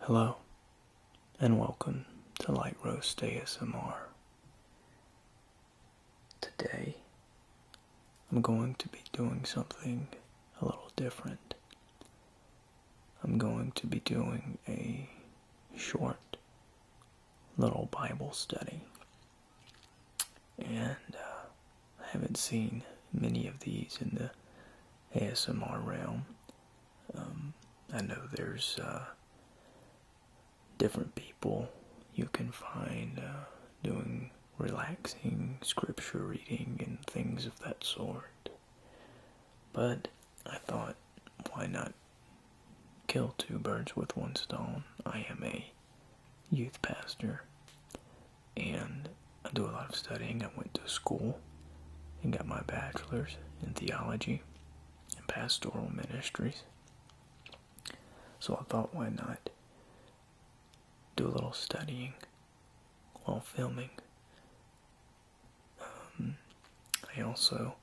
Hello, and welcome to Light Roast ASMR. Today, I'm going to be doing something a little different. I'm going to be doing a short little Bible study. And uh, I haven't seen many of these in the ASMR realm. Um, I know there's uh, different people you can find uh, doing relaxing scripture reading and things of that sort. But I thought, why not kill two birds with one stone? I am a youth pastor and I do a lot of studying. I went to school and got my bachelor's in theology and pastoral ministries. So I thought, why not do a little studying while filming um, I also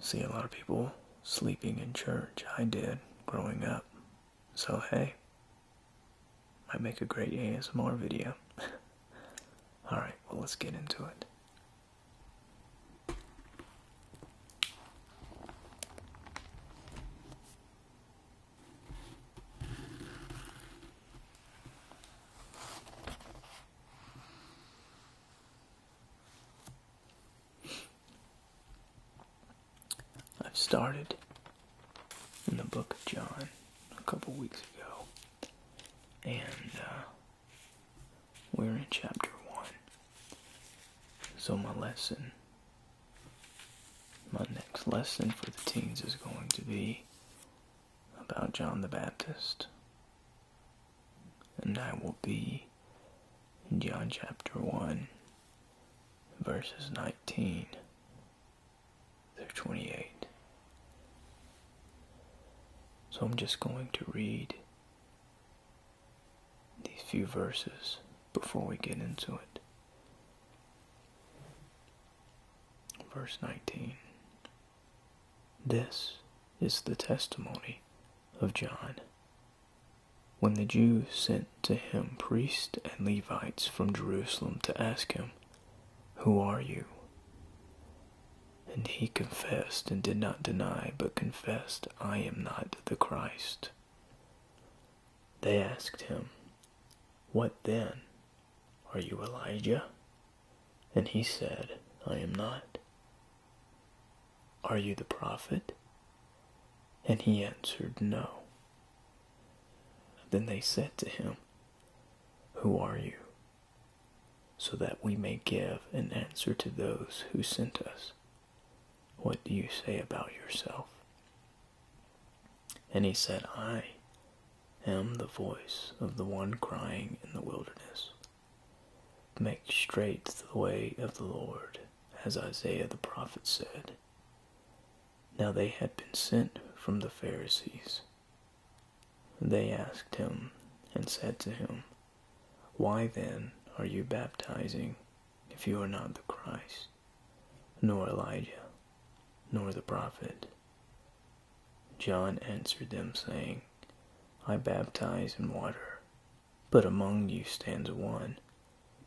see a lot of people sleeping in church. I did growing up. So, hey, I make a great ASMR video. Alright, well, let's get into it. I've started in the book of John a couple weeks ago, and uh, we're in chapter 1. So, my lesson, my next lesson for the teens is going to be about John the Baptist. And I will be John chapter 1, verses 19 through 28. So I'm just going to read these few verses before we get into it. Verse 19 This is the testimony of John. When the Jews sent to him priests and Levites from Jerusalem to ask him, Who are you? And he confessed and did not deny, but confessed, I am not the Christ. They asked him, What then? Are you Elijah? And he said, I am not. Are you the prophet? And he answered, No. Then they said to him, Who are you? So that we may give an answer to those who sent us. What do you say about yourself? And he said, I am the voice of the one crying in the wilderness. Make straight the way of the Lord, as Isaiah the prophet said. Now they had been sent from the Pharisees. They asked him and said to him, Why then are you baptizing if you are not the Christ? nor Elijah, nor the prophet. John answered them, saying, I baptize in water, but among you stands one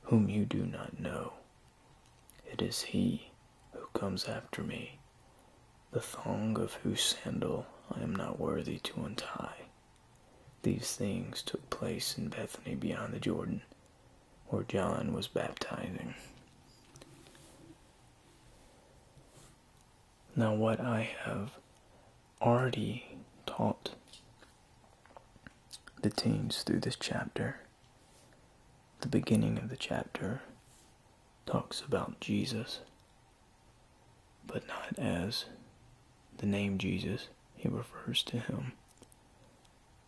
whom you do not know. It is he who comes after me, the thong of whose sandal I am not worthy to untie. These things took place in Bethany beyond the Jordan where John was baptizing. Now, what I have already taught the teens through this chapter, the beginning of the chapter talks about Jesus, but not as the name Jesus. He refers to him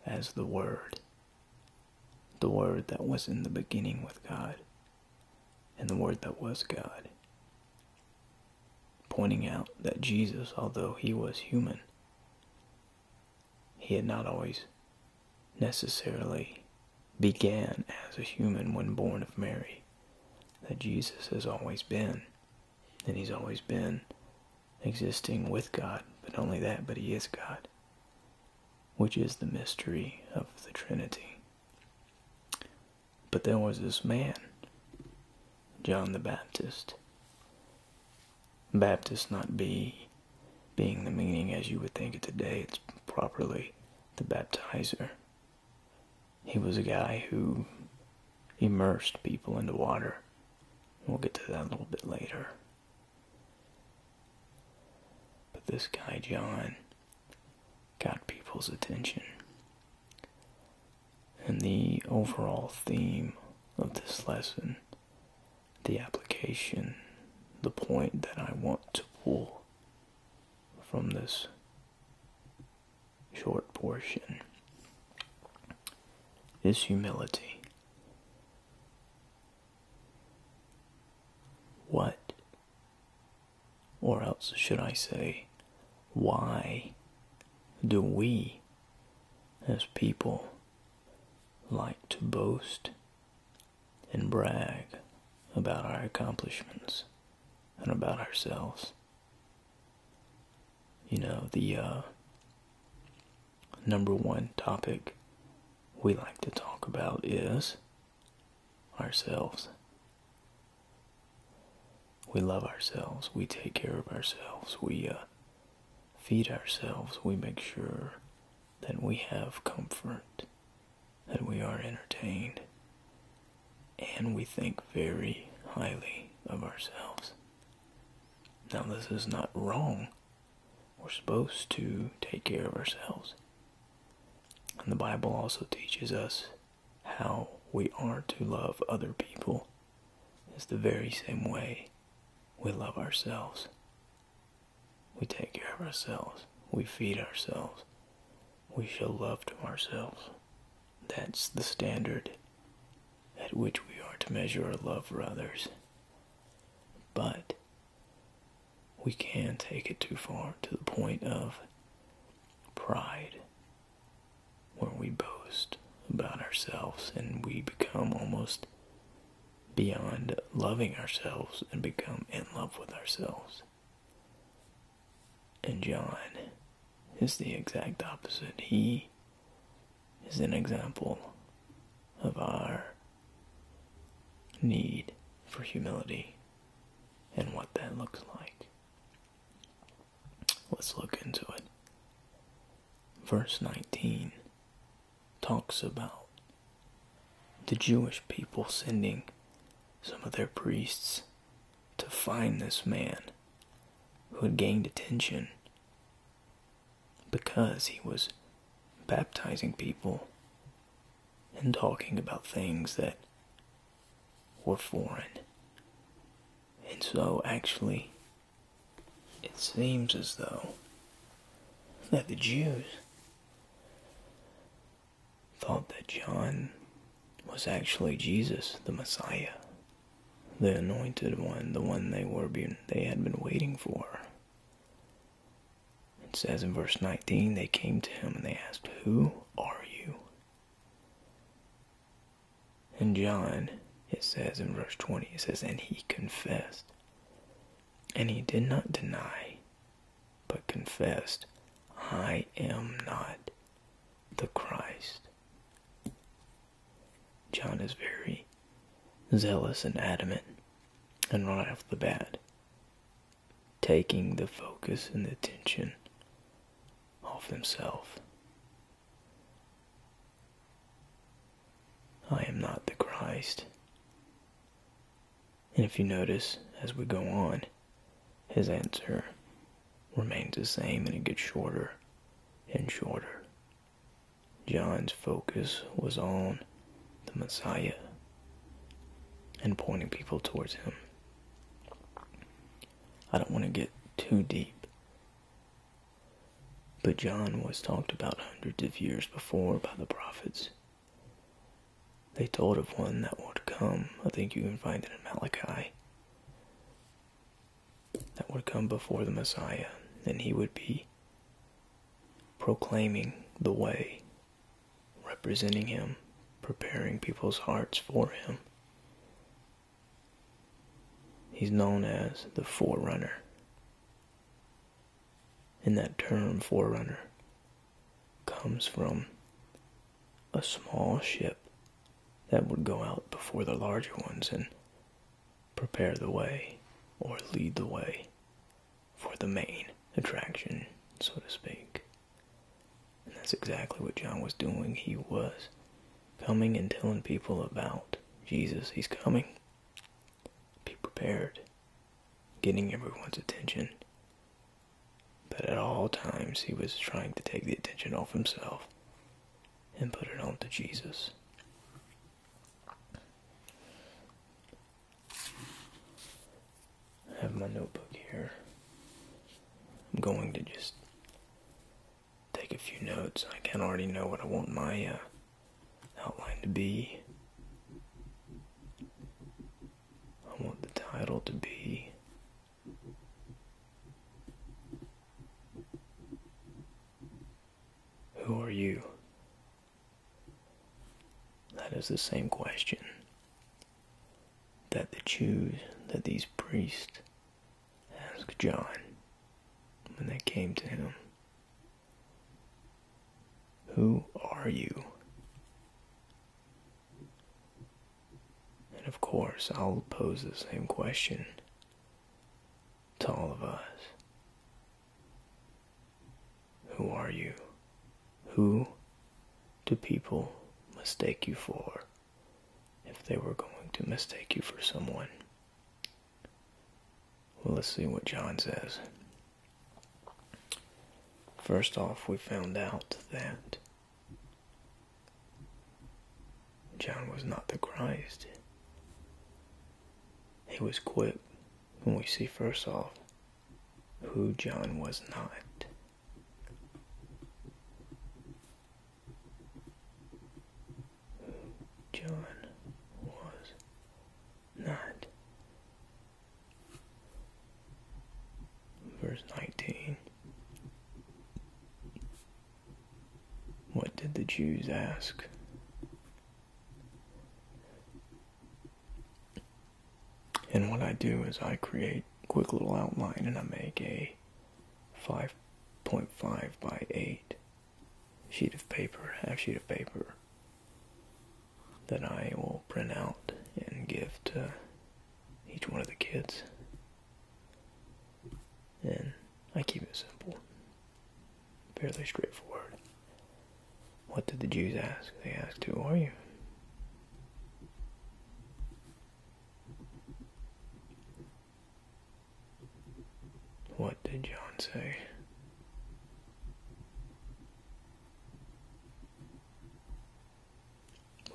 as the Word the Word that was in the beginning with God, and the Word that was God. Pointing out that Jesus, although he was human, he had not always necessarily began as a human when born of Mary. That Jesus has always been, and he's always been existing with God, but only that, but He is God, which is the mystery of the Trinity. But there was this man, John the Baptist. Baptist not be being the meaning as you would think it today, it's properly the baptizer. He was a guy who immersed people in the water. We'll get to that a little bit later. But this guy, John, got people's attention. And the overall theme of this lesson, the application, the point that I want to pull from this short portion is humility. What, or else should I say, why do we as people like to boast and brag about our accomplishments and about ourselves? You know, the, uh, number one topic we like to talk about is ourselves. We love ourselves. We take care of ourselves. We uh, feed ourselves. We make sure that we have comfort, that we are entertained, and we think very highly of ourselves. Now, this is not wrong. We're supposed to take care of ourselves. And the Bible also teaches us how we are to love other people. It's the very same way we love ourselves. We take care of ourselves. We feed ourselves. We show love to ourselves. That's the standard at which we are to measure our love for others. But we can take it too far to the point of pride, where we boast about ourselves and we become almost beyond loving ourselves and become in love with ourselves. And John is the exact opposite. He is an example of our need for humility and what that looks like. Let's look into it. Verse 19 talks about the Jewish people sending some of their priests to find this man who had gained attention because he was baptizing people and talking about things that were foreign. And so, actually, it seems as though that the Jews thought that John was actually Jesus, the Messiah, the anointed one, the one they were they had been waiting for. It says in verse 19, they came to him and they asked, Who are you? And John, it says in verse 20, it says, And he confessed. And he did not deny, but confessed, I am not the Christ. John is very zealous and adamant, and right off the bat, taking the focus and attention off himself. I am not the Christ. And if you notice, as we go on, his answer remains the same and it gets shorter and shorter. John's focus was on the Messiah and pointing people towards him. I don't want to get too deep, but John was talked about hundreds of years before by the prophets. They told of one that would come. I think you can find it in Malachi that would come before the Messiah, and he would be proclaiming the way, representing him, preparing people's hearts for him. He's known as the forerunner. And that term, forerunner, comes from a small ship that would go out before the larger ones and prepare the way or lead the way for the main attraction, so to speak. And that's exactly what John was doing. He was coming and telling people about Jesus. He's coming. Be prepared. Getting everyone's attention. But at all times, he was trying to take the attention off himself and put it onto Jesus. I have my notebook here. I'm going to just take a few notes. I can already know what I want my uh, outline to be. I want the title to be who are you? That is the same question that the Jews, that these priests asked John when they came to him. Who are you? And of course, I'll pose the same question to all of us Who are you? Who do people mistake you for if they were going to mistake you for someone? Well, let's see what John says. First off, we found out that John was not the Christ. He was quick when we see first off who John was not. John was not. Verse 19. What did the Jews ask? And what I do is I create a quick little outline and I make a 5.5 by 8 sheet of paper, half sheet of paper that I will print out and give to each one of the kids and I keep it simple, fairly straightforward. What did the Jews ask? They asked, Who are you? What did John say?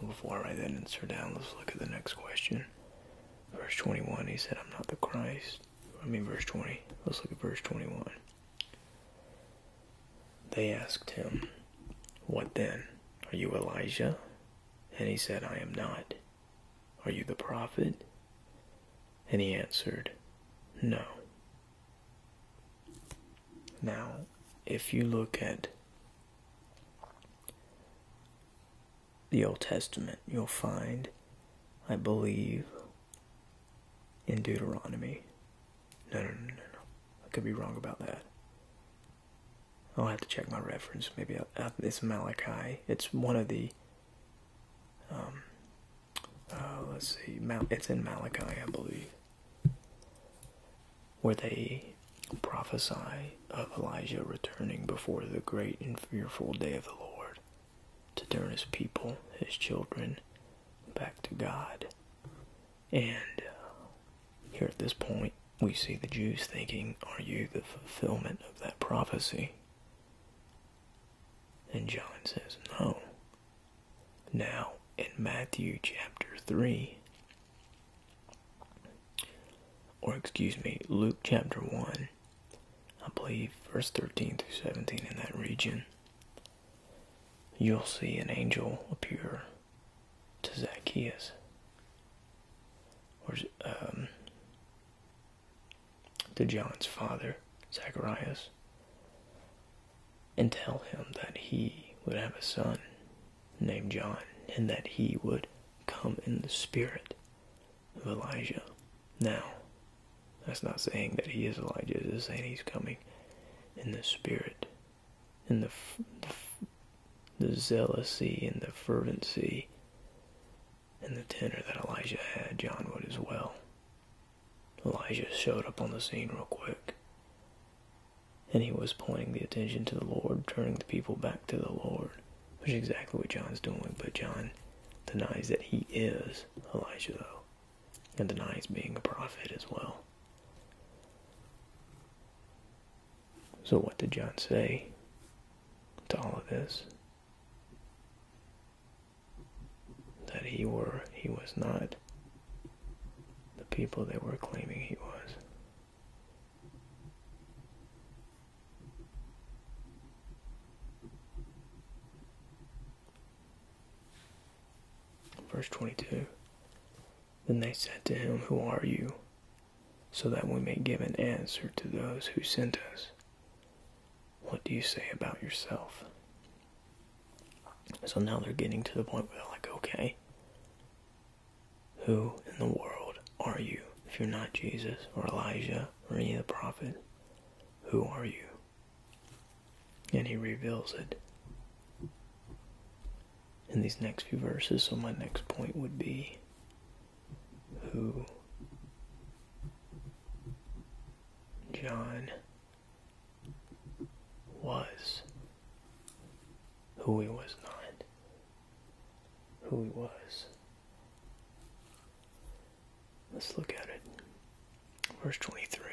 Before I then answer down, let's look at the next question. Verse 21, he said, I'm not the Christ. I mean, verse 20. Let's look at verse 21. They asked him, What then? Are you Elijah? And he said, I am not. Are you the prophet? And he answered, No. Now, if you look at the Old Testament, you'll find, I believe, in Deuteronomy. No, no, no, no, no. I could be wrong about that. I'll have to check my reference. Maybe I, it's Malachi. It's one of the. Um, uh, let's see. Mal it's in Malachi, I believe where they prophesy of Elijah returning before the great and fearful day of the Lord to turn his people, his children, back to God. And uh, here at this point, we see the Jews thinking, Are you the fulfillment of that prophecy? And John says, No. Now, in Matthew chapter 3, or excuse me, Luke chapter 1, I believe verse 13 through 17 in that region, you'll see an angel appear to Zacchaeus. Or um, to John's father, Zacharias, and tell him that he would have a son named John, and that he would come in the spirit of Elijah. Now, that's not saying that he is Elijah, it's saying he's coming in the spirit, in the, the, the zealousy and the fervency and the tenor that Elijah had, John would as well. Elijah showed up on the scene real quick and he was pointing the attention to the Lord, turning the people back to the Lord, which is exactly what John's doing. But John denies that he is Elijah, though, and denies being a prophet as well. So, what did John say to all of this? That he were he was not the people they were claiming he was. Verse 22 Then they said to him, Who are you? So that we may give an answer to those who sent us. What do you say about yourself? So now they're getting to the point where they're like, Okay, who in the world are you if you're not Jesus or Elijah or any of the prophets? Who are you? And he reveals it in these next few verses. So, my next point would be who John was who he was not, who he was. Let's look at it. Verse 23.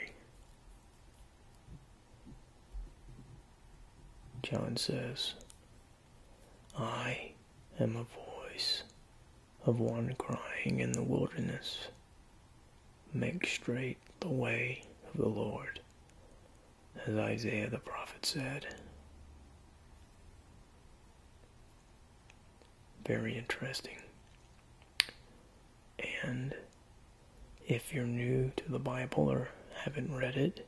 John says, I am a voice of one crying in the wilderness, make straight the way of the Lord, as Isaiah the prophet said. Very interesting. And if you're new to the Bible or haven't read it,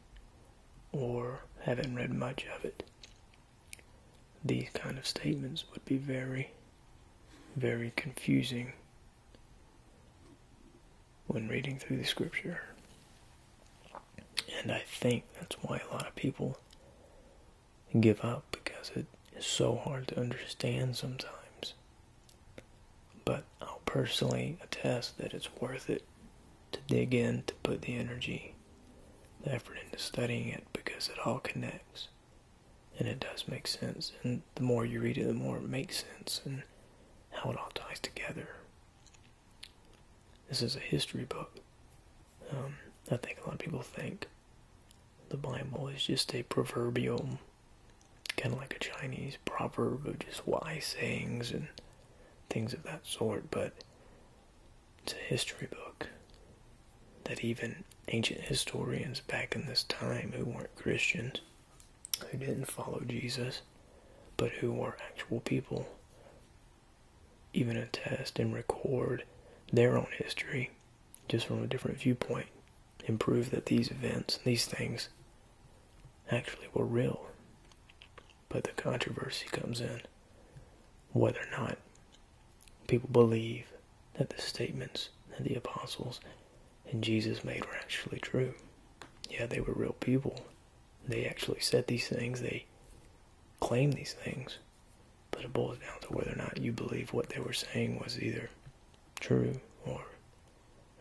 or haven't read much of it, these kind of statements would be very, very confusing when reading through the scripture. And I think that's why a lot of people give up because it is so hard to understand sometimes. But I'll personally attest that it's worth it to dig in, to put the energy, the effort into studying it because it all connects and it does make sense the more you read it, the more it makes sense and how it all ties together. This is a history book. Um, I think a lot of people think the Bible is just a proverbial, kind of like a Chinese proverb of just wise sayings and things of that sort, but it's a history book that even ancient historians back in this time who weren't Christians who didn't follow Jesus, but who were actual people, even attest and record their own history just from a different viewpoint and prove that these events, these things, actually were real. But the controversy comes in whether or not people believe that the statements that the apostles and Jesus made were actually true. Yeah, they were real people. They actually said these things, they claimed these things, but it boils down to whether or not you believe what they were saying was either true or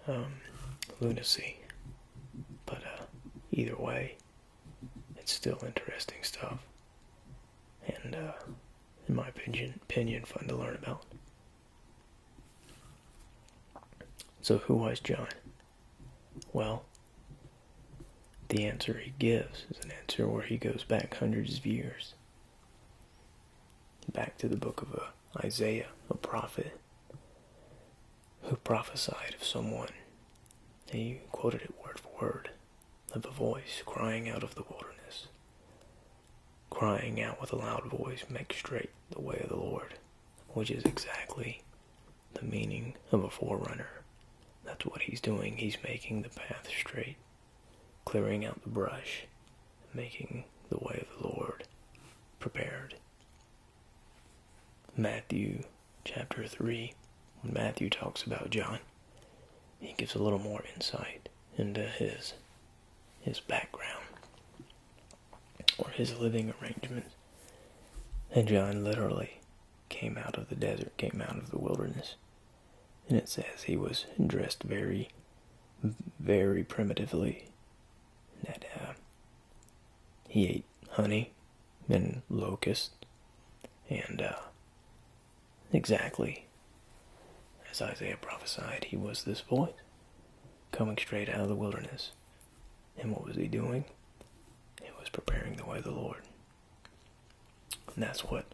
um, lunacy. But uh, either way, it's still interesting stuff. And, uh, in my opinion, opinion, fun to learn about. So, who was John? Well, the answer he gives is an answer where he goes back hundreds of years, back to the book of uh, Isaiah, a prophet who prophesied of someone. He quoted it word for word of a voice crying out of the wilderness, crying out with a loud voice, Make straight the way of the Lord, which is exactly the meaning of a forerunner. That's what he's doing. He's making the path straight, clearing out the brush, making the way of the Lord prepared. Matthew chapter 3, when Matthew talks about John, he gives a little more insight into his his background or his living arrangements. And John literally came out of the desert, came out of the wilderness. And it says he was dressed very, very primitively. That uh, he ate honey and locusts and uh, exactly as Isaiah prophesied, he was this boy coming straight out of the wilderness. And what was he doing? He was preparing the way of the Lord. And that's what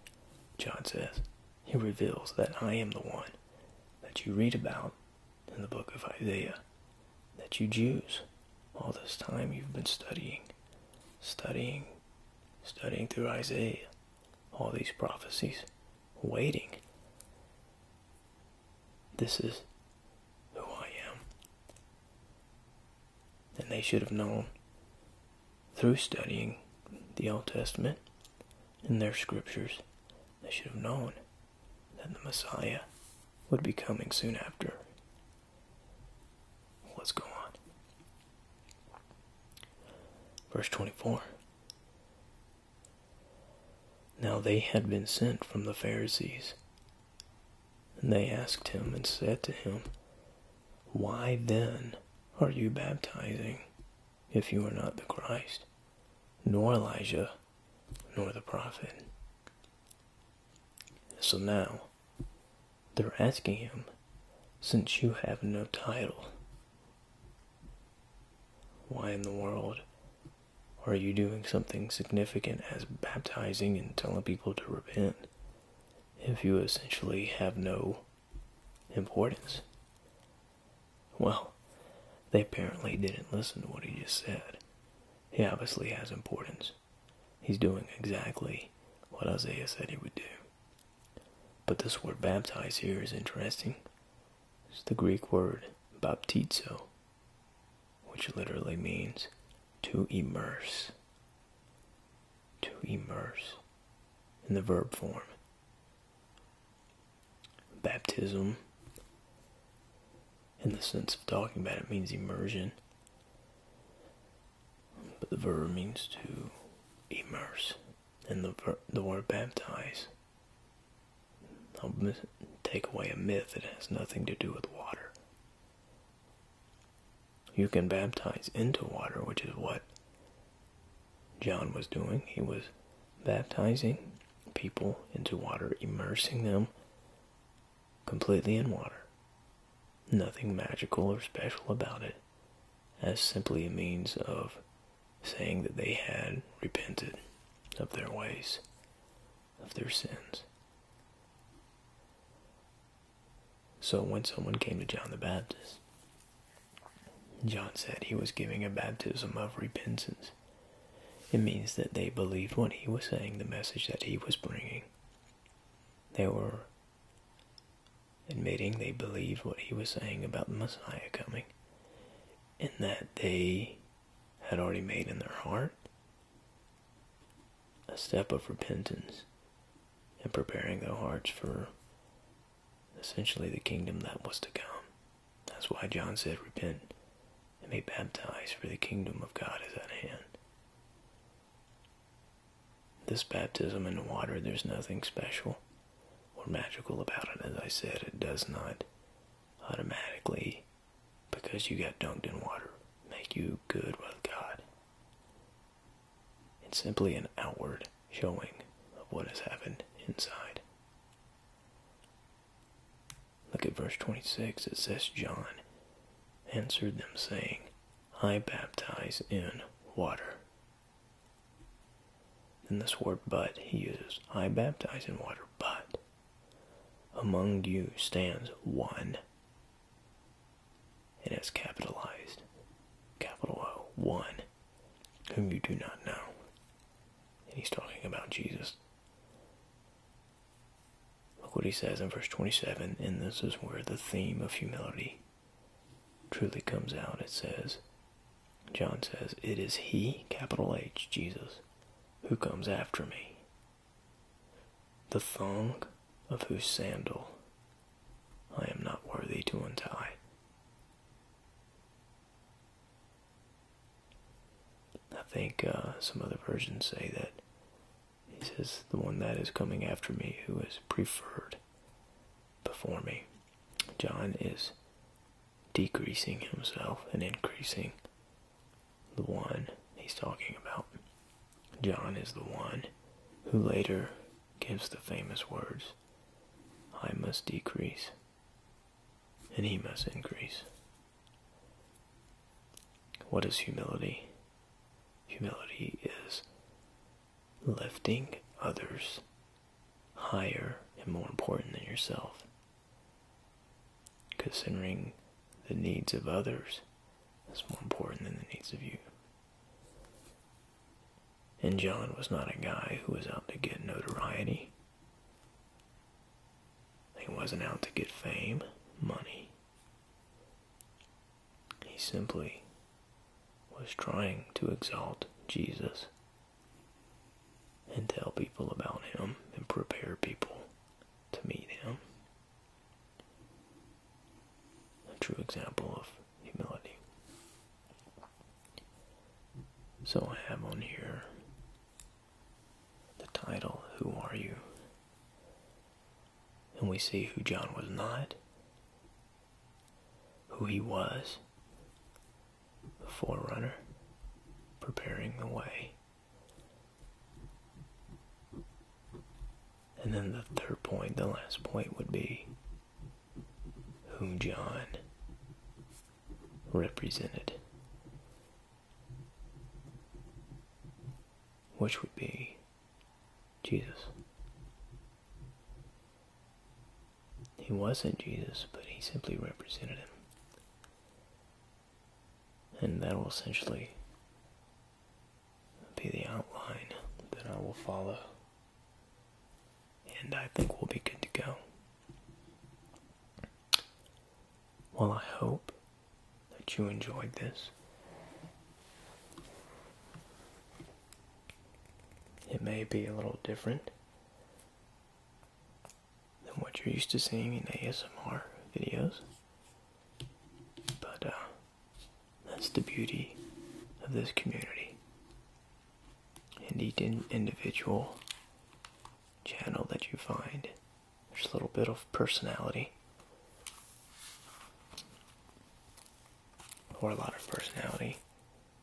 John says. He reveals that I am the one that you read about in the book of Isaiah, that you Jews, all this time you've been studying, studying, studying through Isaiah, all these prophecies, waiting. This is who I am. And they should have known through studying the Old Testament and their scriptures, they should have known that the Messiah would be coming soon after. What's going on? Verse 24 now they had been sent from the Pharisees. And they asked him and said to him, Why then are you baptizing if you are not the Christ, nor Elijah, nor the prophet? So now they're asking him, Since you have no title why in the world are you doing something significant as baptizing and telling people to repent if you essentially have no importance? Well, they apparently didn't listen to what he just said. He obviously has importance. He's doing exactly what Isaiah said he would do. But this word baptize here is interesting is the Greek word baptizo, which literally means to immerse. To immerse in the verb form. Baptism, in the sense of talking about it, means immersion, but the verb means to immerse, and the, the word baptize. I'll take away a myth that has nothing to do with water. You can baptize into water, which is what John was doing. He was baptizing people into water, immersing them completely in water. Nothing magical or special about it, as simply a means of saying that they had repented of their ways, of their sins. So when someone came to John the Baptist, John said he was giving a baptism of repentance. It means that they believed what he was saying, the message that he was bringing. They were admitting they believed what he was saying about the Messiah coming, and that they had already made in their heart a step of repentance and preparing their hearts for essentially the kingdom that was to come. That's why John said, Repent and be baptized, for the kingdom of God is at hand. This baptism in the water, there's nothing special or magical about it. As I said, it does not automatically, because you got dunked in water, make you good with God. It's simply an outward showing of what has happened inside. Look at verse 26. It says, John answered them, saying, I baptize in water, in this word but, he uses, I baptize in water, but among you stands one. And it's capitalized, capital O, one, whom you do not know. And he's talking about Jesus. Look what he says in verse 27, and this is where the theme of humility truly comes out, it says, John says, It is He, capital H, Jesus, who comes after me. The thong of whose sandal I am not worthy to untie. I think uh, some other versions say that he says, The one that is coming after me who is preferred before me. John is decreasing himself and increasing the one he's talking about. John is the one who later gives the famous words, I must decrease and he must increase. What is humility? Humility is lifting others higher and more important than yourself. Considering the needs of others is more important than the needs of you. And John was not a guy who was out to get notoriety. He wasn't out to get fame, money. He simply was trying to exalt Jesus and tell people about him and prepare people to meet him. A true example of humility. So I have on here the title, Who Are You? And we see who John was not who he was, the forerunner, preparing the way. And then the third point, the last point would be whom John represented, which would be Jesus. He wasn't Jesus, but he simply represented him. And that will essentially be the outline that I will follow. And I think we'll be good to go. Well, I hope that you enjoyed this. It may be a little different than what you're used to seeing in ASMR videos, but uh, that's the beauty of this community. And each individual channel that you find, there's a little bit of personality or a lot of personality,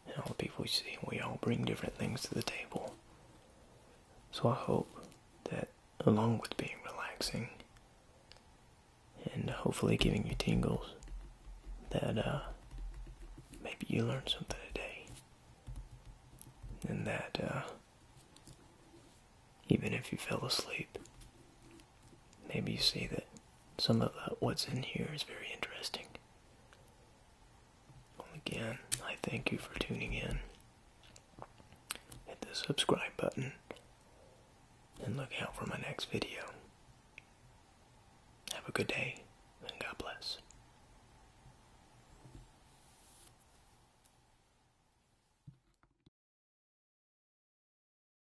and all the people we see, we all bring different things to the table. So I hope that, along with being relaxing and hopefully giving you tingles, that uh, maybe you learned something today, and that uh, even if you fell asleep, maybe you see that some of uh, what's in here is very interesting. again, I thank you for tuning in. Hit the subscribe button and look out for my next video. Have a good day and God bless.